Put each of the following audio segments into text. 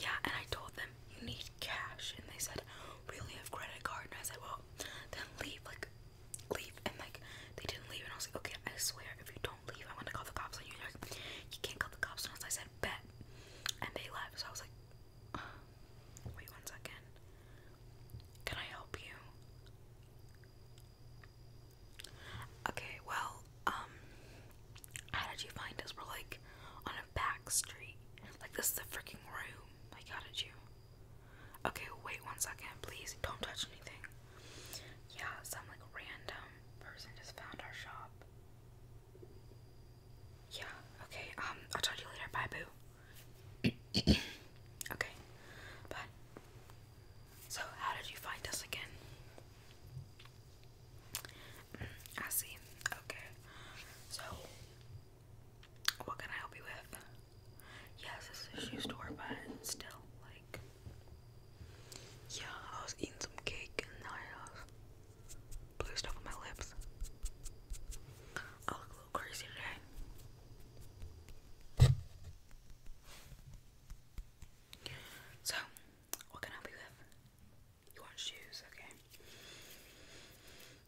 Yeah, and I told them you need cash, and they said we only have credit card. And I said, well, then leave, like, leave. And like, they didn't leave, and I was like, okay, I swear, if you don't leave, I'm gonna call the cops on you. And like, you can't call the cops on us. I said, bet, and they left. So I was like, uh, wait one second, can I help you? Okay, well, um, how did you find us? We're like on a back street. Like this is a freaking room. Like how did you? Okay, wait one second, please. Don't touch anything. Yeah, some like random person just found our shop. Yeah, okay. Um, I'll talk to you later. Bye, boo. okay, but so how did you find us again? I see. Okay. So, what can I help you with? Yes, this a shoe store, but still, like, yeah, I was eating some cake and I uh, blew stuff on my lips. I look a little crazy today. So, what can I help you with? You want shoes, okay.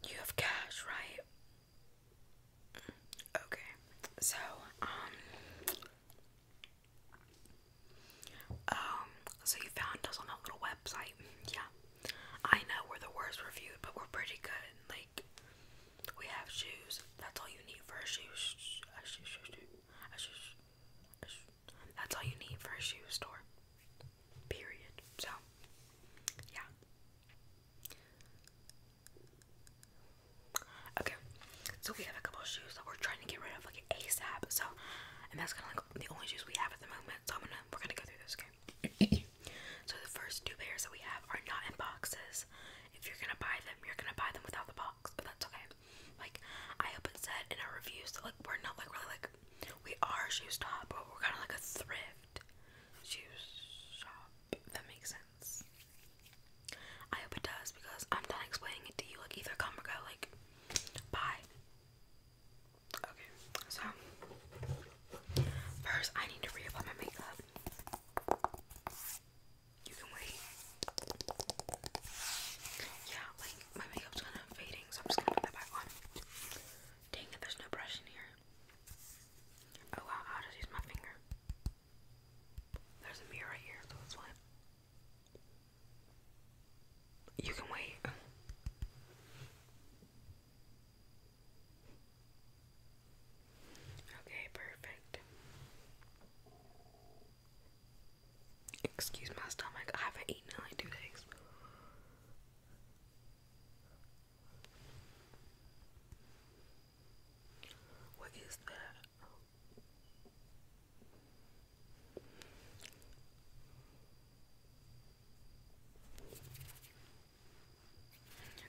You have cash, right? Okay. So, um Um, so you found us on that little website. Yeah. I know we're the worst reviewed, but we're pretty good. Like we have shoes. That's all you need for a that's all you need for a shoe store. Period. So, yeah. Okay, so we have a couple of shoes that we're trying to get rid of like ASAP. So, and that's kind of like the only shoes we have at the moment. So I'm gonna we're gonna go through this. Okay. so the first two pairs that we have are not in boxes. If you're gonna buy them, you're gonna buy them without the box, but that's okay. Like I hope it said in our reviews that like we're not like really like we are a shoe stop, but we're kind of like a thrift shoe shop. that makes sense. I hope it does because I'm done explaining it to you. Like either come or go. Like bye. Okay, so first I need to reapply my makeup. You can wait. Yeah, like my makeup's kind of fading, so I'm just gonna put that back on. Dang it, there's no brush in here. Oh wow, I'll use my finger. There's a mirror right here, so that's fine. You can wait. Okay, perfect. Excuse my stomach, I haven't eaten in like two days. What is that?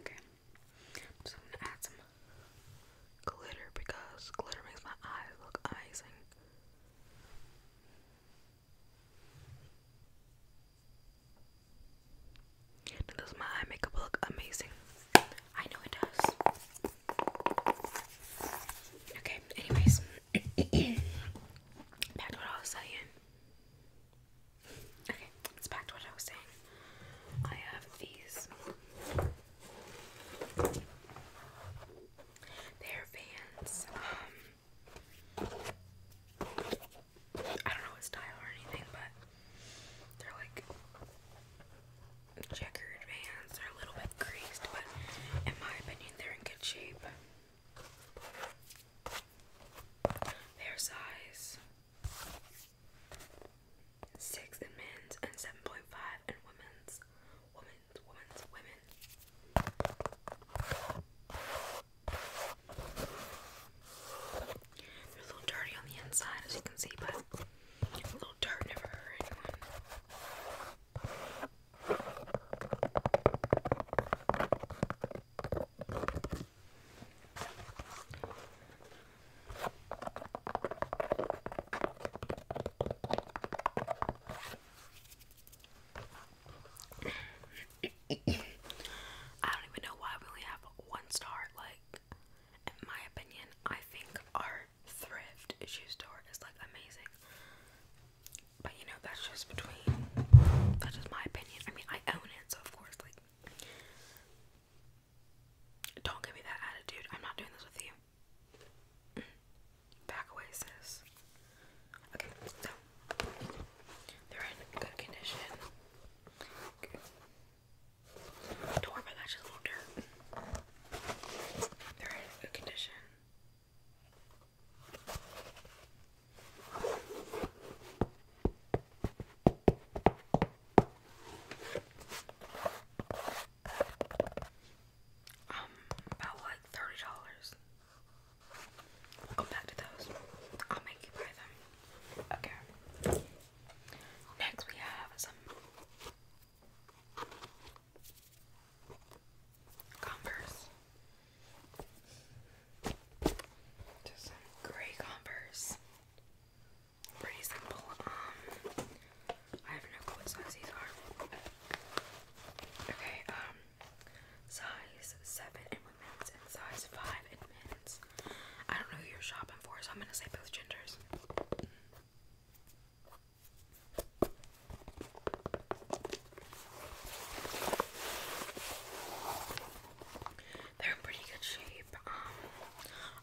Okay, so gonna add some glitter because glitter makes my eyes look amazing. Does my eye makeup look amazing? I know it does. Okay, anyways, back to what I was saying. Okay, it's back to what I was saying. I have these. They're fans. Um, I don't know what style or anything, but they're like checkered vans. They're a little bit creased, but in my opinion, they're in good shape. Their size six in men's and seven point five in Women's women's, They're a little dirty on the inside, as you can see, but a little dirt never hurt anyone. I don't even know why we only have one star. Like, in my opinion, I think our thrift shoe store is like amazing. But you know, that's just between. That's just my opinion. I mean, I own it, so of course, like, don't give me that attitude. I'm not doing this with you. Back away, sis. Okay, so they're in good condition. Don't worry about that, just a little dirt. They're in good condition. Um, about like thirty dollars. go back to those. I'll make you buy them. Okay. Next we have some Converse. Just some gray Converse. Pretty simple. Um, I have no clue what size these are. Okay, um, size 7 in and size 5 in I don't know who you're shopping for, so I'm gonna say both genders. They're in pretty good shape. Um,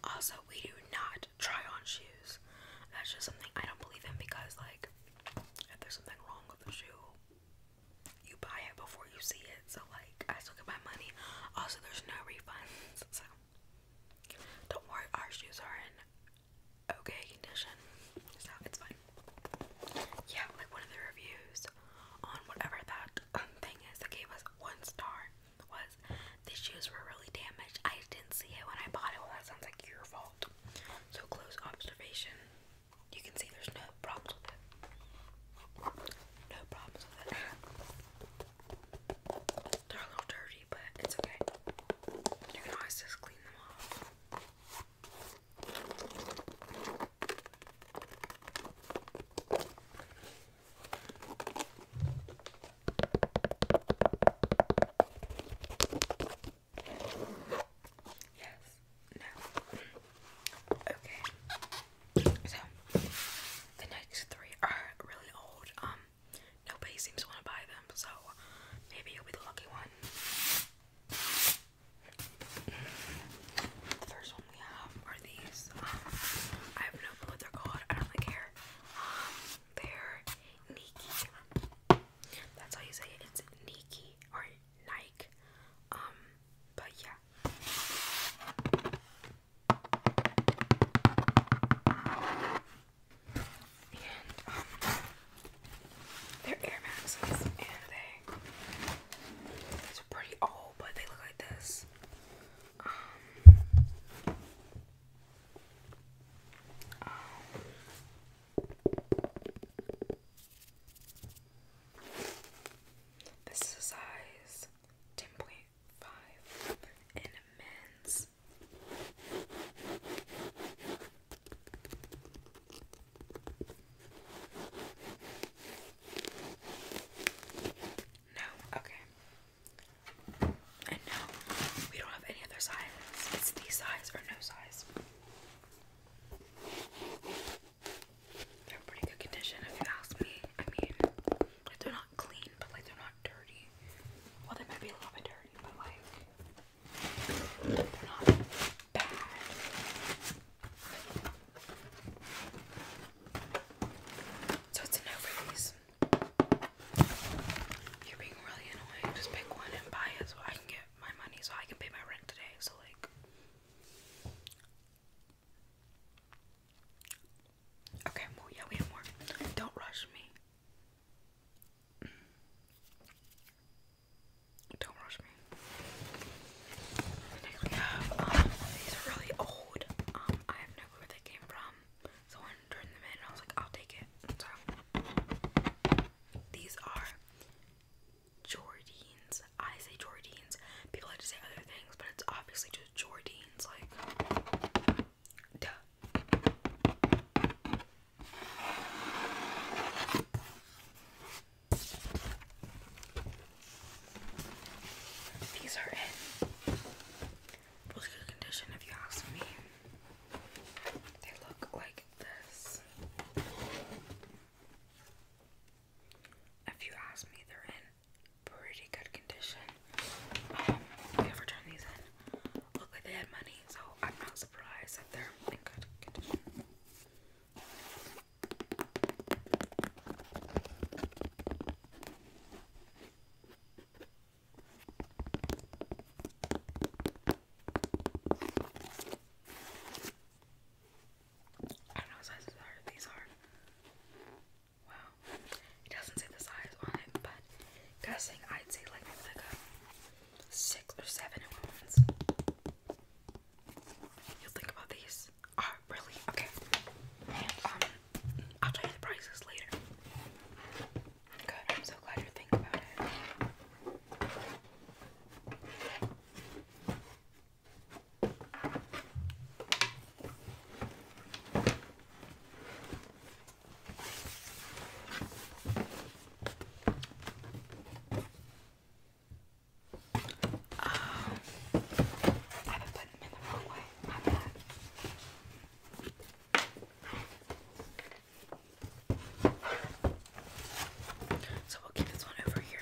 also, we do not try on shoes. That's just something I don't believe in because, like, if there's something wrong with the shoe, you buy it before you see it. So like, I still get my money. Also, there's no refunds. So don't worry, our shoes are in okay condition. So it's fine. Yeah, like one of the reviews on whatever that thing is that gave us one star was these shoes were really damaged. I didn't see it when I bought it. Well, that sounds like your fault. So close observation. You can see there's no problems with it. No problems with it. They're a little dirty, but it's okay. You can always just clean them off. Yes. No. Okay. So the next three are really old. Um, nobody seems to want to buy them, so maybe you'll be the lucky one. The first one we have are these. Um, I have no clue what they're called. I don't care. Um, they're Nike. That's how you say It's Nike or Nike. Um, but yeah. And um, they're Air Maxes, and they these are pretty old, but they look like this. um, um this is a size 10.5 in men's. No, okay. And no, we don't have any other size. It's the size or no size. They're in pretty good condition if you ask me. I mean, they're not clean, but like they're not dirty. Well, they might be a little bit dirty, but like they're not bad. So it's a no for you're being really annoying. Just pick one and buy it so I can get my money so I can pay my rent today. So like Okay, yeah, we have more. Don't rush me. Don't rush me. Next we have um, these really old. Um I have no clue where they came from. So one them in, I was like, I'll take it. these are Jordans. I say Jordans. People like to say other things, but it's obviously just Jordans. Like, duh. These are in good condition, if you ask me. They look like this. If you ask me, they're in pretty good condition. Um, I turn these in, look like they had money, so I'm not surprised that they're in good condition. I don't know what sizes are these are. Wow. It doesn't say the size on it, but guessing I'd say like six or seven women's. You think about these. Oh, really? Okay. um, I'll tell you the prices later. Good, I'm so glad you're thinking about it. Um, I've been putting them in the wrong way. My bad. So we'll keep this one over here.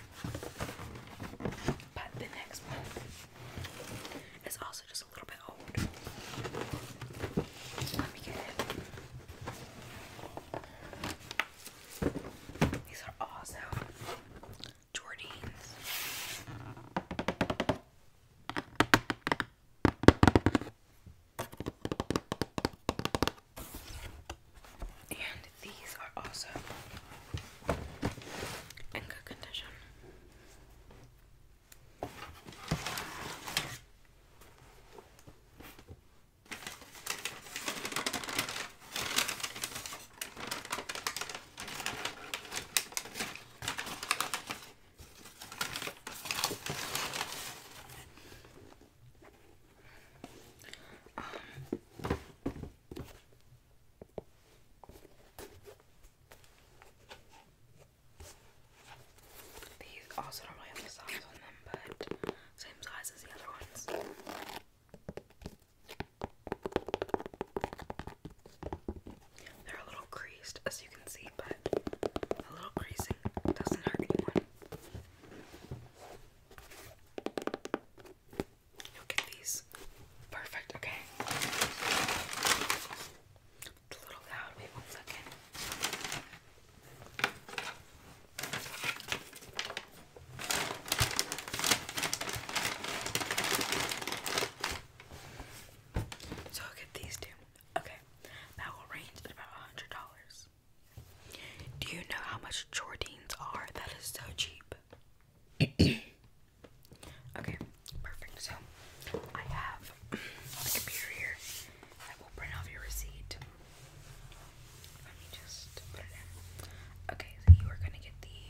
But the next one is also just a little bit old. Let me get it. These are also Jordans. And these are also in good condition these also don't really have the size on them, but same size as the other ones. They're a little creased, as you can see, but a little creasing doesn't hurt anyone. you get these. Perfect, okay. It's a little loud, wait one second. So I'll get these two. Okay, that will range at about $100. Do you know how much Jordans are? That is so cheap. okay, perfect. So I have the computer here that will print off your receipt. Let me just put it in. Okay, so you are going to get the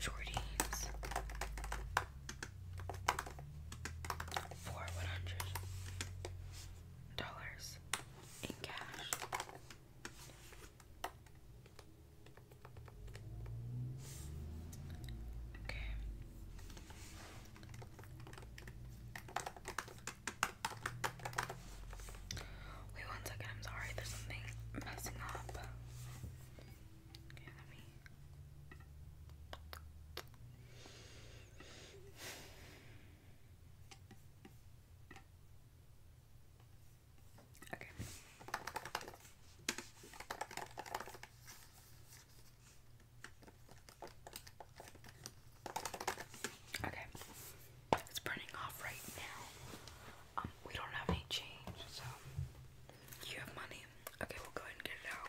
Jordans for one hundred dollars in cash. Okay. Wait one second, I'm sorry, there's something messing up. Okay, Okay. Okay. It's burning off right now. Um, we don't have any change, so you have money. Okay, we'll go ahead and get it out.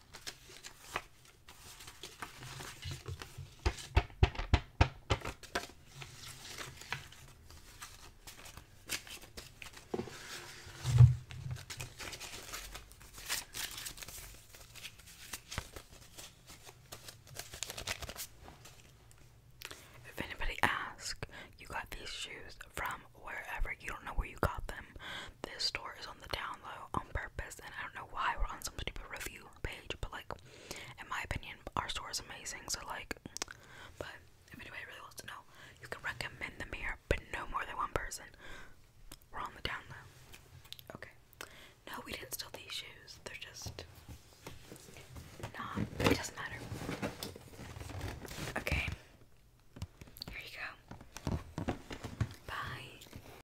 If anybody asks, you got these shoes from wherever. You don't know where you got them. This store is on the down low on purpose, and I don't know why we're on some stupid review page, but like in my opinion, our store is amazing. So like, but if anybody really wants to know, you can recommend them here, but no more than one person. We're on the down low. Okay. No, we didn't steal these shoes. They're just nah. It doesn't matter. Okay. Here you go. Bye.